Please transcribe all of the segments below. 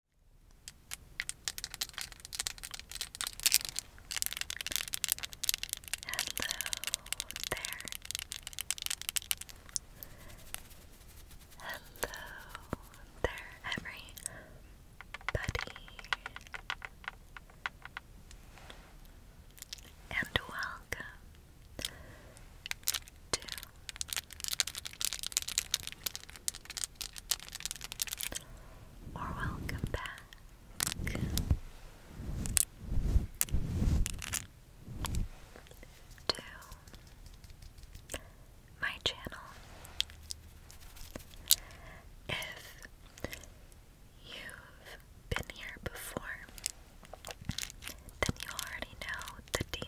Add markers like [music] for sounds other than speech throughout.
Hello there. Hello there, everybody. And welcome to or welcome back. To my channel. If you've been here before, then you already know the deal.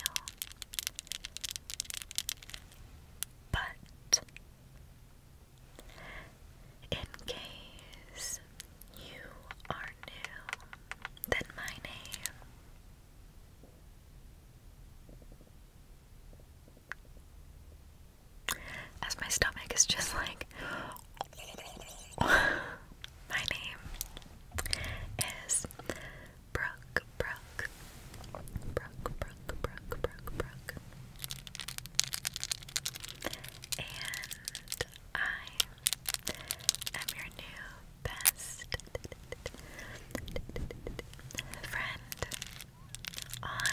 But in case you are new, then my name as my stomach is just like [laughs] my name is Brook, Brook, Brook, Brook, Brook, Brook, And I am your new best friend on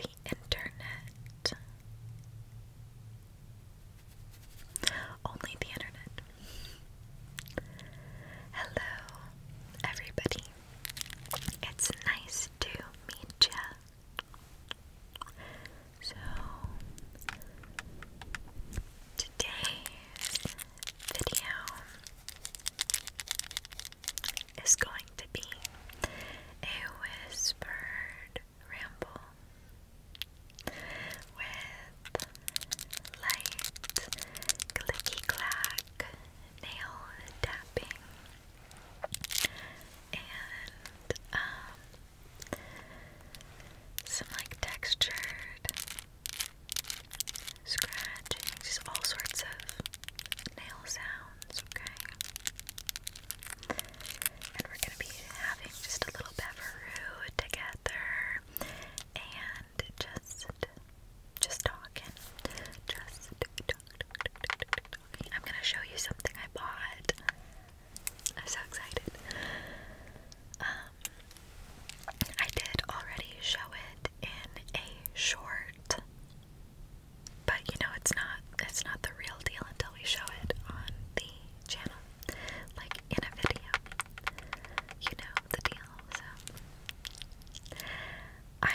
the internet. Only the internet. Hello, everybody. It's nice to meet ya. So, today's video is going to be a whispered ramble with light, clicky clack, nail tapping, and um, some like textured scratching, just all sorts of nail sounds, okay? And we're gonna be having just a little beveroo together. And and just just talking. Just I'm gonna show you something I bought. I'm so excited. Um I did already show it in a short but you know it's not it's not the real deal until we show it on the channel like in a video you know the deal so I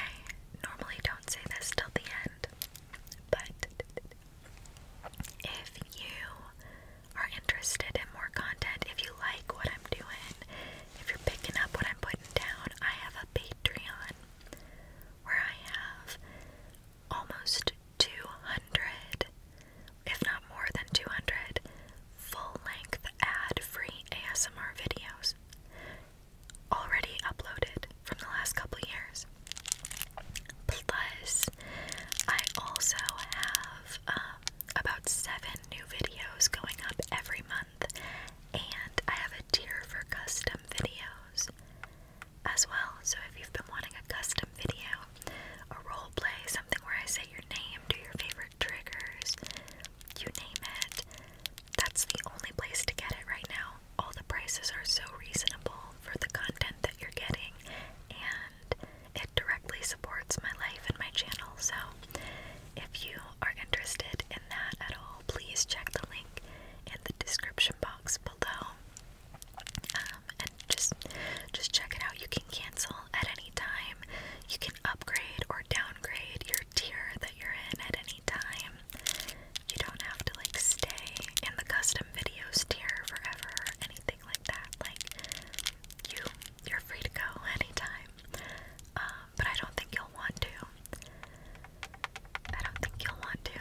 normally don't say this till the end, but if you are interested in more content, if you like what I'm doing, if you're picking up what I'm putting down, I have a Patreon where I have almost 200, if not more than 200, full-length ad-free ASMR videos already uploaded from the last couple years. Plus, I also have um, about seven new videos going up every month, and I have a tier for custom videos as well. So, if you've been wanting a custom video, a role play, something where I say your name, do your favorite triggers, you name it. That's the only place to get it right now. All the prices are so reasonable for the content that you're getting, and it directly supports my life and my channel. So, if you are interested in that at all, please check the link in the description box below. Um, and just just check it out. You can cancel at any time. You can upgrade or downgrade your tier that you're in at any time. You don't have to like stay in the custom videos tier forever or anything like that. Like you you're free to go anytime. Um, but I don't think you'll want to. I don't think you'll want to.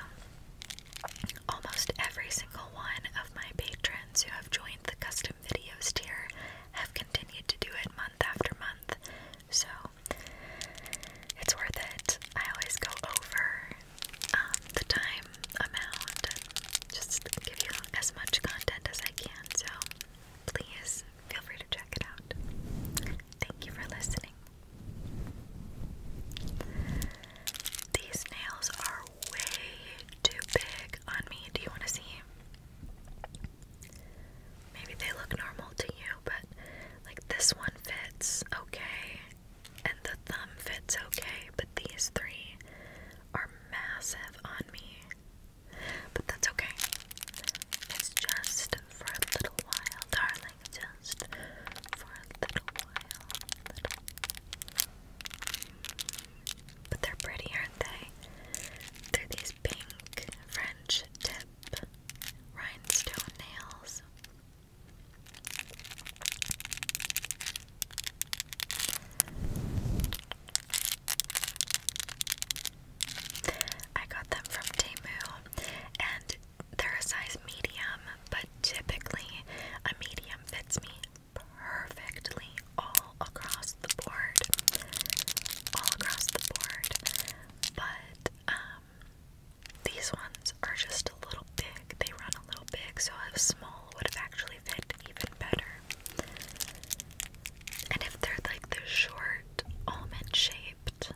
Almost every single one of my patrons who have joined the custom videos tier have continued to do it month after month. So it's worth it. I always go over um, the time amount and just give you as much content as I can. So please feel free to check it out. Thank you for listening. These nails are way too big on me. Do you want to see? Maybe they look normal to you, but like this one fits okay, and the thumb fits okay, but these three are massive on me. But that's okay. It's just for a little while, darling. Just for a little while. But they're pretty, aren't they? They're these pink French tip rhinestone nails. I got them from Temu and they're a size medium, but typically a medium fits me perfectly all across the board. All across the board. But um, these ones are just a little big. They run a little big, so a small would have actually fit even better. And if they're like the short almond shaped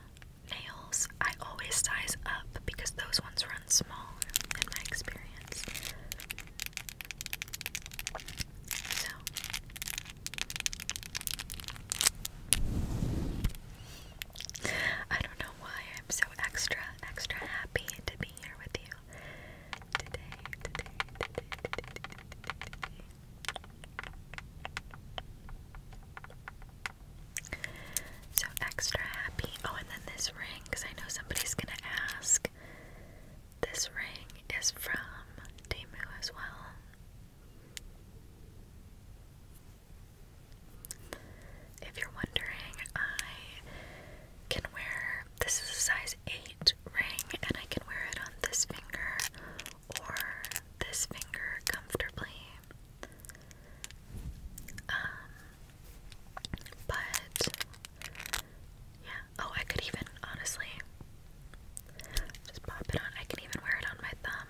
nails, I always size up because those ones run small in my experience. I don't know why I'm so extra, extra happy to be here with you today. So extra happy. Oh, and then this ring, because I know somebody's gonna ask this ring is from Temu as well. If you're wondering, I can wear this is a size 8 ring and I can wear it on this finger or this finger comfortably. Um, but yeah. Oh, I could even honestly just pop it on. I can even wear it on my thumb.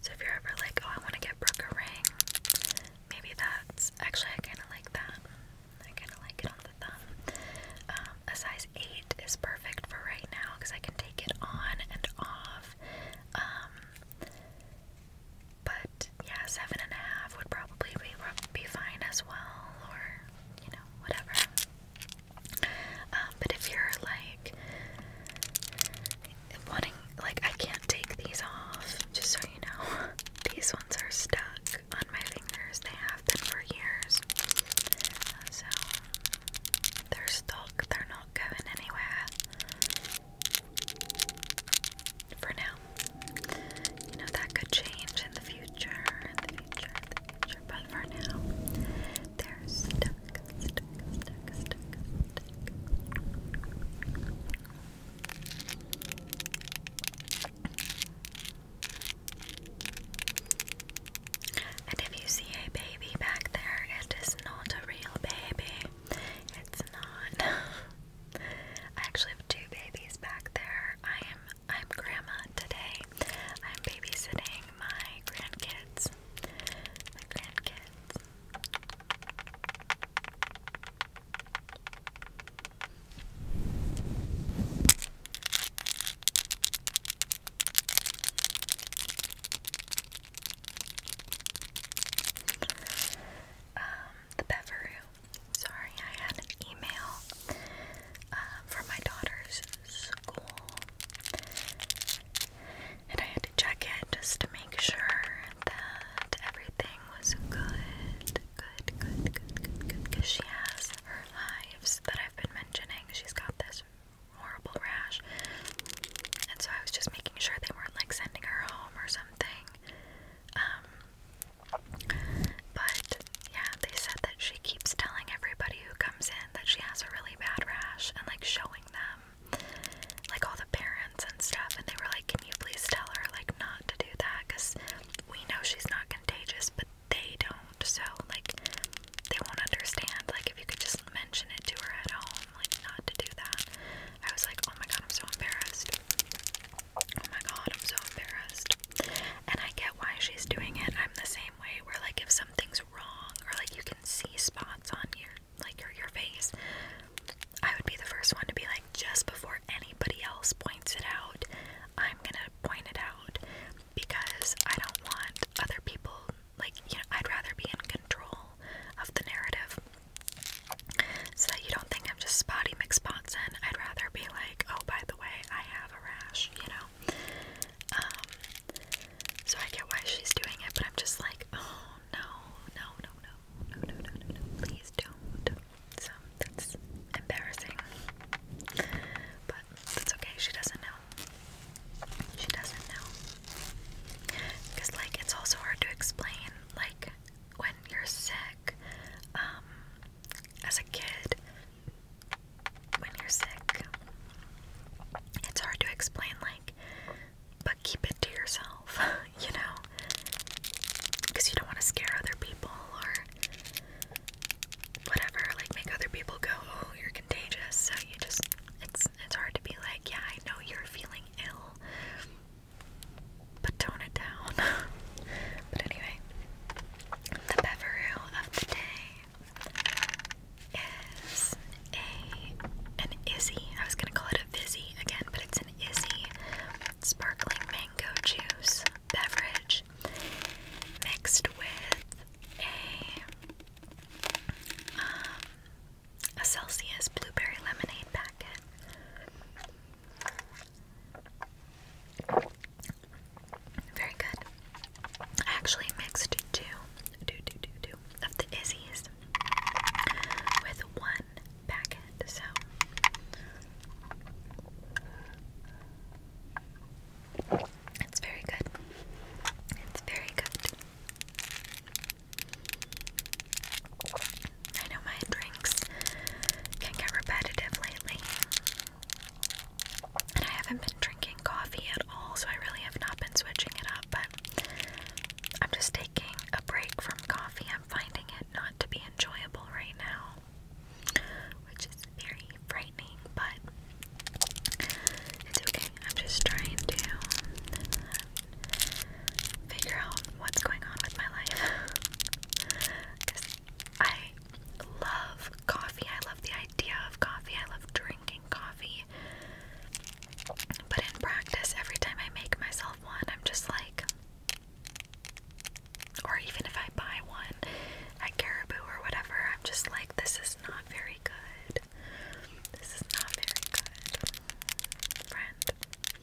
So if you're ever like, oh, I want to get Brooke a ring, maybe that's actually I kind of like that. I kind of like it on the thumb. Um, a size eight is perfect for right now because I can take it on and off. Um, but yeah, seven and a half would probably be be fine as well, or you know, whatever. Um, but if you're like wanting, like, I can't take these off, just so you know, [laughs] these ones are stuck on my fingers. They have been for years. So they're stuck, they're not going anywhere. For now, you know that could change in the future, in the future, in the future. But for now, they're stuck, stuck, stuck, stuck, And if you see a baby back there, it is not a real baby. It's not. [laughs] I actually have two babies back there. I am. I'm grandma today. I'm babysitting my grandkids. My grandkids. Um, the Beveru Sorry, I had an email uh, from my daughter's school, and I had to check it just to make sure that everything was good, good, good, good, good, good. Because she has her lives that I've been mentioning. She's got this horrible rash, and so I was just making sure they weren't like sending her home or something. Um, but yeah, they said that she keeps telling everybody who comes in that she has a really bad rash and like showing them, like all the parents and stuff. And they were like, Can you please tell her, like, not to do that? Because we know she's not contagious, but they don't. So, like, they won't understand. Like, if you could just mention it to her at home, like, not to do that. I was like, Oh my god, I'm so embarrassed. Oh my god, I'm so embarrassed. And I get why she's doing it. I'm the same way where like if something's wrong or like you can see spots on your like your your face, I would be the first one to be like just before anybody else points it out, I'm gonna point it out because I don't want other people like you know, I'd rather be in control of the narrative. So that you don't think I'm just spotty McSpotson. I'd rather be like, oh, by the way, I have a rash, you know? Um, so I get why she's doing it, but I'm just like, oh, no, no, no, no, no, no, no, no, no, please don't. So that's embarrassing. But that's okay, she doesn't know. She doesn't know. Because, like, it's also hard to explain, like, when you're sick, um, as a kid, when you're sick, it's hard to explain, like, but keep it to yourself, [laughs] you know? Because you don't want to scare other people or whatever, like, make other people go, oh, you're contagious. So you just, it's, it's hard to be like, yeah, I know you're feeling ill but tone it down. [laughs] but anyway, the beveroo of the day is a an Izzy. I was gonna call it a Vizzy again, but it's an Izzy sparkling mango juice beverage mixed with a um, a Celsius blueberry lemonade packet. Very good. I actually mixed two, two, two, two, two of the Izzy's with one packet, so. It's very good. It's very good. I know my drinks can get repetitive lately. And I haven't been drinking coffee at all, so I really have not been switching it up, but I'm just taking a break from coffee. I'm finding it not to be enjoyable right now, which is very frightening, but it's okay. I'm just trying to figure out what's going on with my life. Because [laughs] I love coffee. I love the idea of coffee. I love drinking coffee. But in practice, every time I make myself one, I'm just like, or even if I buy one at Caribou or whatever, I'm just like, this is not very good. This is not very good. Friend,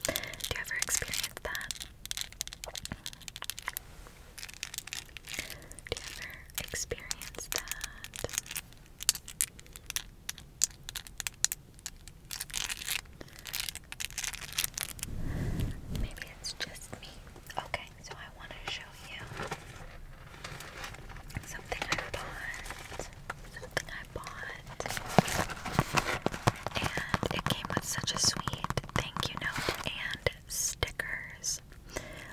do you ever experience that? Do you ever experience that? Maybe it's just me. Okay, so I want to show you something I bought. Something I bought. And it came with such a sweet thank you note and stickers.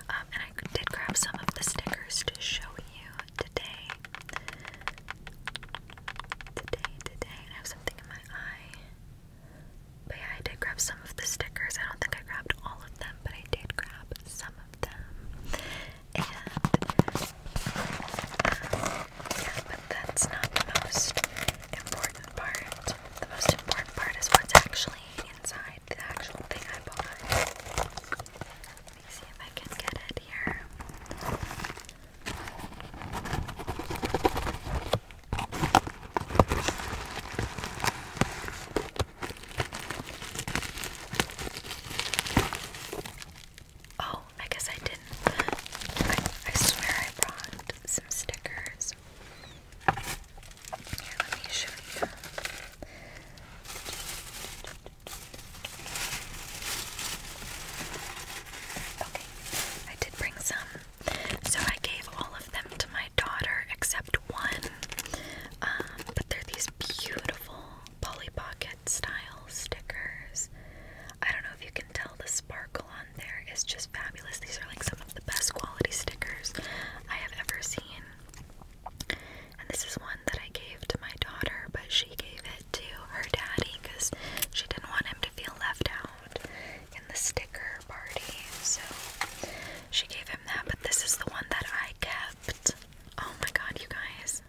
Um, and I did grab some of the stickers to show you today. Today, today. I have something in my eye. But yeah, I did grab some of the stickers. I don't think I grabbed all of them, but I did grab some of them. And um, yeah, but that's not most important part. The most important part is what's actually inside the actual thing I bought. Let me see if I can get it here. Oh, I guess I didn't. I, swear I brought some stickers. Here, let me show you. Okay, I did bring some. So I gave all of them to my daughter except one. Um, but they're these beautiful Polly Pocket style stickers. I don't know if you can tell the sparkle on there is just fabulous. These are like some of the best quality stickers I have ever seen. And this is one that I gave to my daughter, but she gave it to her daddy because she didn't want him to feel left out in the sticker party. So she gave him that, but this is the one that I kept. Oh my god, you guys.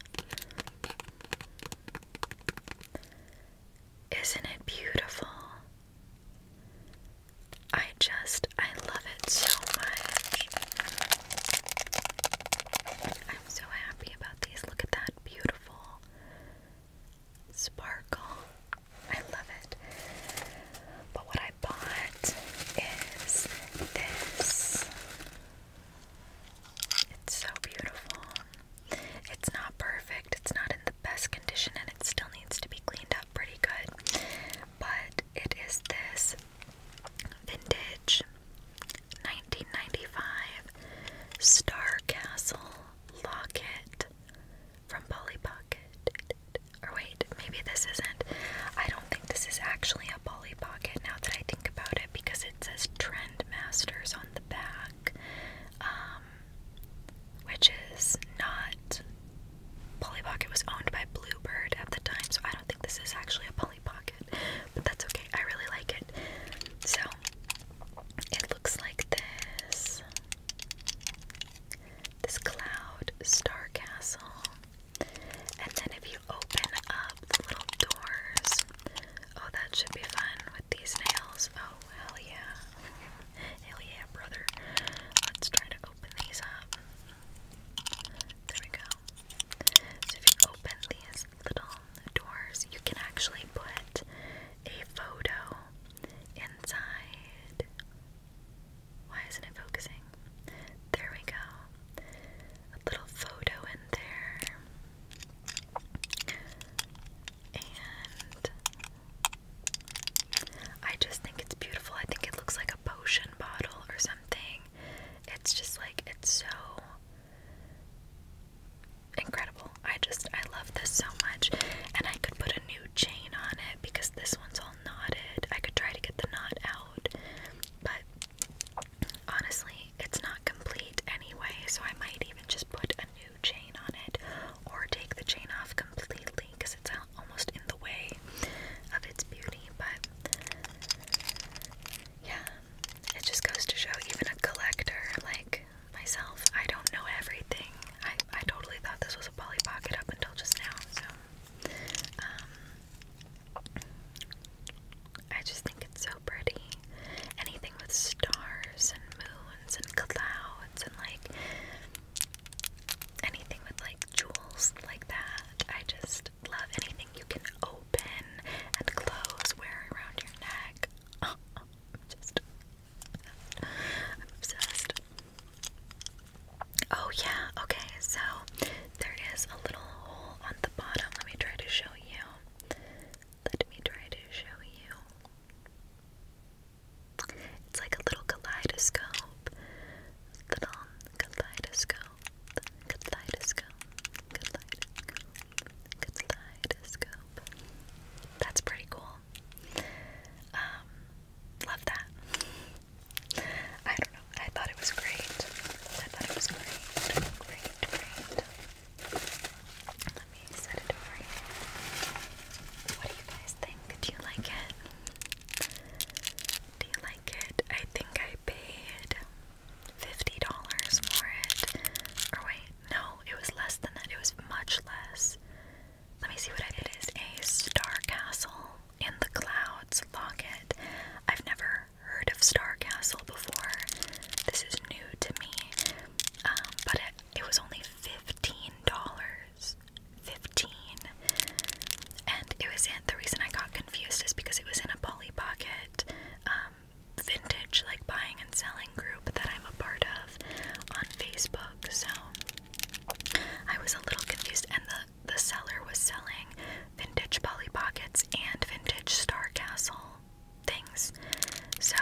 Isn't it beautiful? I just, I love it so much. I'm so happy about these. Look at that beautiful sparkle. I love it. But what I bought is this. It's so beautiful. It's not perfect, it's not in the best condition, and it still needs to be cleaned up pretty good. But it is this vintage 1995 Star Castle locket from Polly Pocket. Or wait, maybe this isn't. I don't think this is actually a Polly Pocket now that I think about it because it says Trend Masters on the back. Um, which is not. Polly Pocket was owned by Bluebird at the time, so I don't think this is actually a Polly Pocket, but that's okay. I really like it. So it looks like this this cloud star castle, and then if you open up the little doors, oh, that should be fun these nails. Oh, hell yeah. Hell yeah, brother. Let's try to open these up. There we go. So, if you open these little doors, you can actually put a photo inside. Why isn't it focusing? There we go. A little photo in there. And I just think it's beautiful. I think it looks like a potion bottle or something. It's just like, it's so incredible. I just, I love this so much. And I could put a new chain on it because this one's all knotted. I could try to get the knot out, but honestly, it's not complete anyway, so I might even just put new chain on it or take the chain off completely because it's almost in the way of its beauty. But yeah, it just goes to show even a collector like myself, I don't know everything. I, I totally thought this was a Polly Pocket up until just now. So, um, I just think it's so pretty. Anything with stars and moons and clouds and like anything with like jewels like that. I just love anything you can open and close, wear around your neck. [laughs] I'm obsessed. I'm obsessed. Oh, yeah, okay, so there is a little hole on the bottom. Let me try to show you. Let me try to show you. It's like a little kaleidoscope. Little kaleidoscope. Kaleidoscope. Kaleidoscope. Kaleidoscope. That's pretty cool. Um, love that. I don't know. I thought it was great. I thought it was great. Great, let me set it over here. What do you guys think? Do you like it? Do you like it? I think I paid $50 for it. Or wait, no, it was less than that. It was much less. Let me see what I did. It is a Star Castle in the Clouds locket. I've never heard of Star Castle before. This is new to me. Um, but it, was only fifteen dollars. Fifteen. And it was in the reason I got confused is because it was in a Polly Pocket um, vintage like buying and selling group that I'm a part of on Facebook. So I was a little confused and the the seller was selling vintage Polly Pockets and vintage Star Castle things. So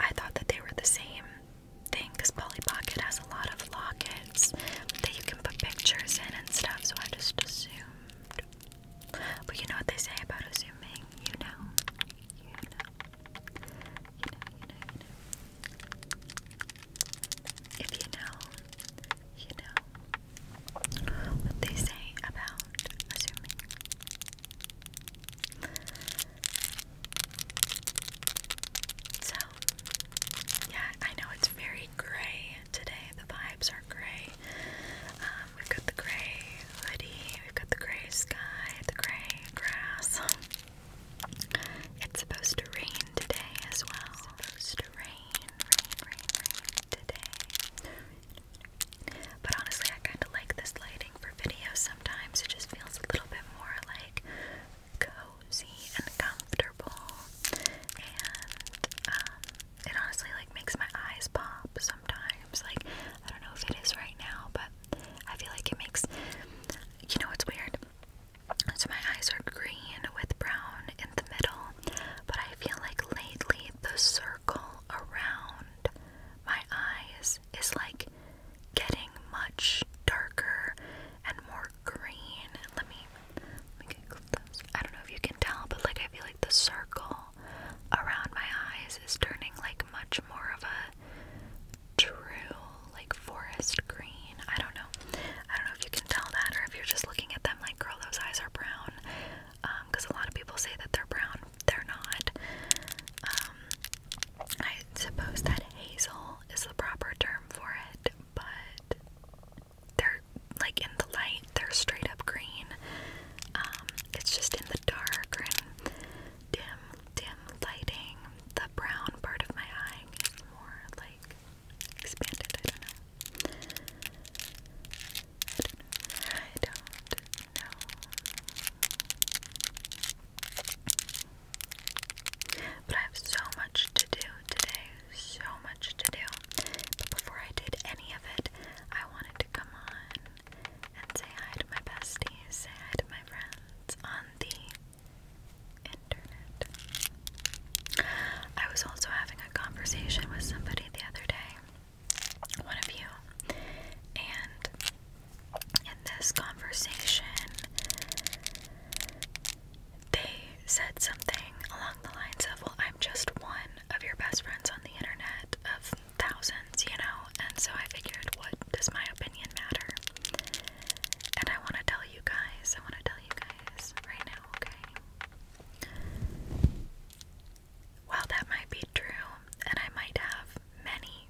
I thought that they were the same thing because Polly Pocket has a lot of lockets that you can put pictures in and stuff. So I just assumed. But you know what they say about assuming, you know. You know. You know, you know, you know. If you know, you know what they say about assuming. So, yeah, I know it's very gray today. The vibes are gray. Um, we've got the gray hoodie, we've got the gray sky, the gray grass. It's supposed to rain today as well. supposed to rain, rain, rain, rain today. But honestly, I kind of like this lighting for videos sometimes. It just feels a little bit more like cozy and comfortable. And um, it honestly like makes my eyes pop sometimes. Like, I don't know if it is right now, but I feel like it makes, you know, it's weird. So my eyes are green with brown in the middle, but I feel like lately the circle circle around my eyes is like getting much darker and more green. Let me I don't know if you can tell, but like I feel like the circle around my eyes is turning like much more of a true like forest green. I don't know. I don't know if you can tell that or if you're just looking at them like girl those eyes are brown. Um, cuz a lot of people say that they're brown they're not. Um, I suppose that hazel is the proper term for it, but they're like in the light, they're straight up green. Um, it's just in the dark and dim, dim lighting. The brown part of my eye is more like expanded, I don't know. I don't know. But I have so much to do today. So much to do. But before I did any of it, I wanted to come on and say hi to my besties, say hi to my friends on the internet. I was also having a conversation with somebody the other day one of you. And in this conversation, they said something along the lines of, Well, I'm just one of your best friends on the internet of thousands, you know? And so I figured, What does my opinion matter? And I want to tell you guys, I want to tell you guys right now, okay? While that might be true, and I might have many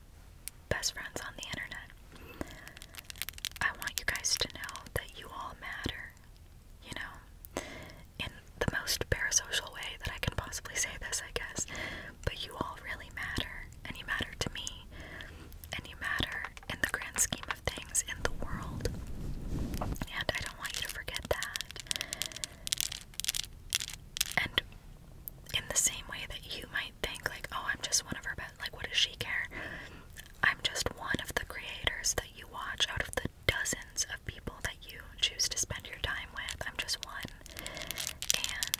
best friends on the internet, I want you guys to know that you all matter, you know? In the most parasocial way that I can possibly say this, I guess, but you all really matter, and you matter to me, and you matter in the grand scheme of things in the world. And I don't want you to forget that. And in the same way that you might think, like, oh, I'm just one of her best, like, what does she care? I'm just one of the creators that you watch out of the dozens of people that you choose to spend your time with. I'm just one. And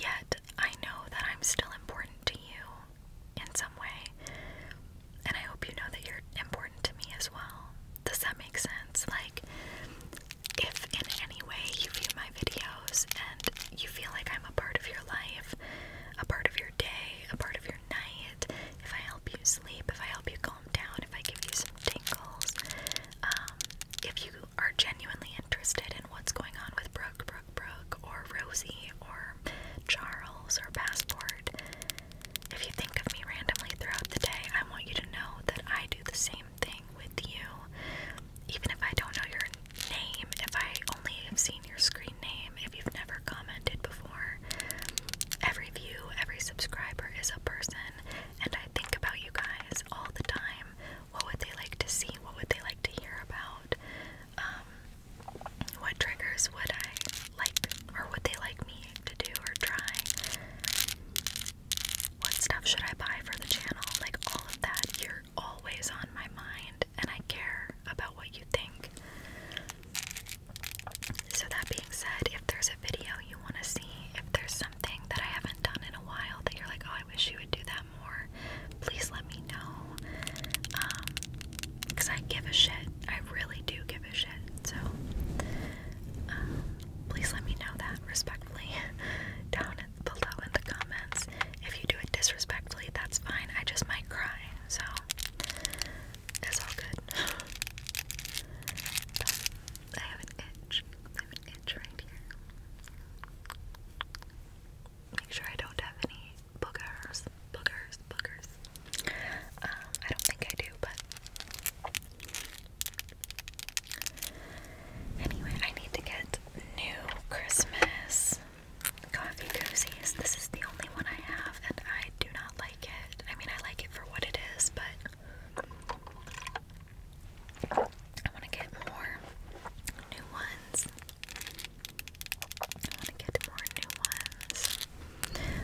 yet, I know that I'm still important to you in some way and I hope you know that you're important to me as well. Does that make sense? Like, if in any way you view my videos and you feel like I'm a part of your life, a part of your day, a part of your night, if I help you sleep, if I help you calm down, if I give you some tingles, um, if you are genuinely interested in what's going on with Brooke, Brooke, Brooke, or Rosie, or Charles, or Passport, if you think of me randomly throughout the day, I want you to know that I do the same thing with you. Even if I don't know your name, if I only have seen your screen name, if you've never commented before, every view, every subscriber is a person, and I think about you guys all the time. What would they like to see? What would they like to hear about? Um, what triggers would I like, or would they like me to do or try? What stuff should I buy for the channel? Like, all of that, you're always on my mind, and I care about what you think. So, that being said, if there's a video you want to see, if there's something that I haven't done in a while that you're like, oh, I wish you would do that more, please let me know. Um, because I give a shit. I really do give a shit. So, um, please let me know that respectfully [laughs] down below in the comments. If you do it disrespectfully, that's fine. I just might cry. So, it's all good. [sighs] I have an itch. I have an itch right here. Make sure I don't have any boogers, boogers, boogers. Um, I don't think I do, but anyway, I need to get new Christmas coffee cozies. This is the only one I have, and I do not like it. I mean, I like it for what it is, but I want to get more new ones. I want to get more new ones.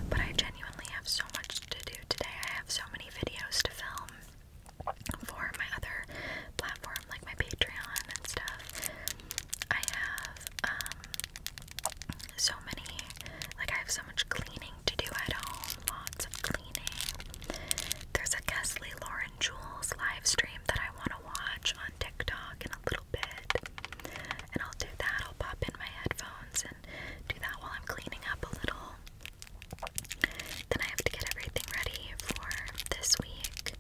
But I genuinely have so much to do today. I have so many videos to film for my other platform, like my Patreon and stuff. I have um, so many like I have so much cleaning to do at home, lots of cleaning. There's a Kesley Lauren Jules live stream that I wanna watch on TikTok in a little bit. And I'll do that. I'll pop in my headphones and do that while I'm cleaning up a little. Then I have to get everything ready for this week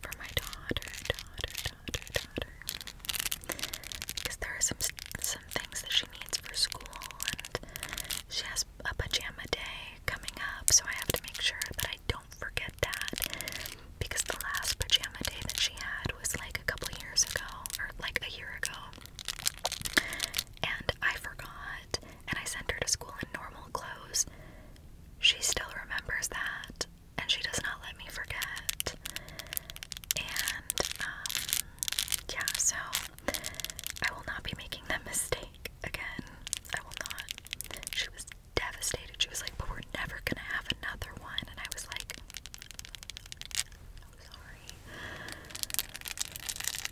for my daughter, daughter, daughter, daughter. Because there are some some things that she needs for school, and she has a pajama day coming up, so I have to make sure that I don't forget that because the last pajama day that she had was like a couple years ago, or like a year ago, and I forgot, and I sent her to school in normal clothes. She still remembers that, and she does not let me forget. And, um, yeah, so I will not be making that [laughs] mistake again. I will not. She was devastated. She was like, But we're never gonna have another one. And I was like, I'm sorry.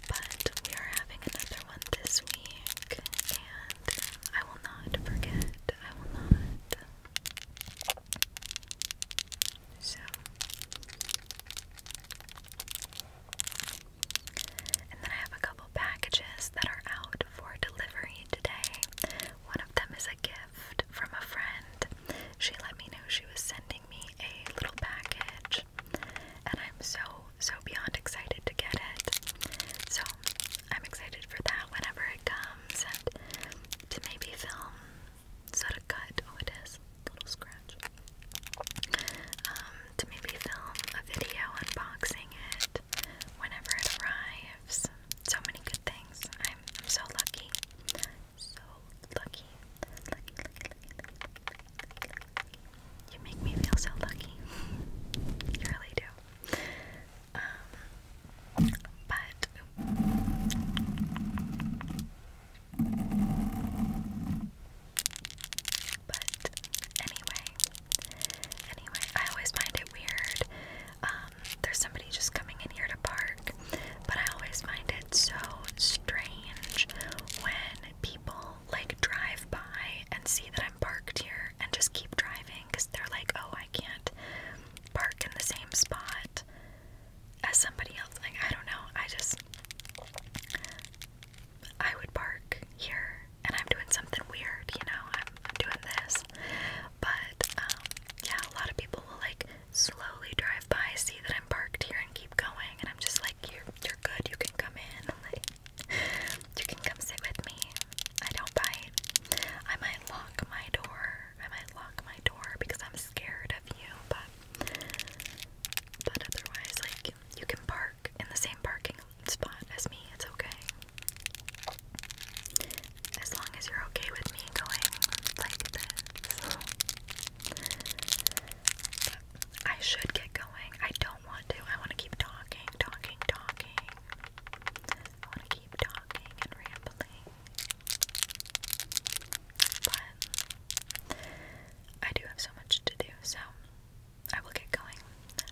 But we are having another one this week, and I will not forget. I will not. So, and then I have a couple packages that are out for delivery today. One of them is a gift from a friend. She let me know she was sending me a little package, and I'm so, so beyond excited to get it. So I'm excited for that whenever it comes, and to maybe film sort of cut. Oh, it is a little scratch. Um, to maybe film a video unboxing it whenever it arrives. So many good things. I I'm so lucky. So lucky. Lucky, lucky, lucky, lucky, You make me feel so lucky. [laughs] you really do. Um, but but anyway, anyway, I always find it weird um, there's somebody just coming in here to park, but I always find it so strange when people like drive by and see that I'm parked here and just keep driving because they're like, oh, I can't park in the same spot as somebody else. Like, I don't know. I just, I would park here and I'm doing something weird, you know? I'm doing this. But um, yeah, a lot of people will like slowly drive by, see that I'm parked here, and keep going. And I'm just like, you're you're good. You can come in. I'm [laughs] like, you can come sit with me. I don't bite. I might lock my door. I might lock my door because I'm scared of you. But but otherwise, like you can park in the same parking spot as me. It's okay. As long as you're okay with me going like this. I should get going. I don't want to. I want to keep talking, talking, talking. I want to keep talking and rambling. But I do have so much to do, so I will get going.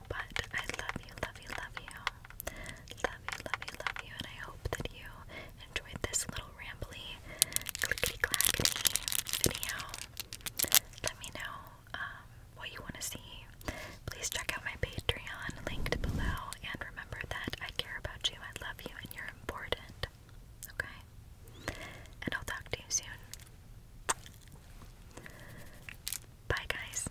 But I love you, love you, love you. Love you, love you, love you, and I hope that you enjoyed this little rambly, clickety clackety video. Let me know um, what you want to see. Please check out my Patreon linked below, and remember that I care about you, I love you, and you're important. Okay? And I'll talk to you soon. Bye, guys.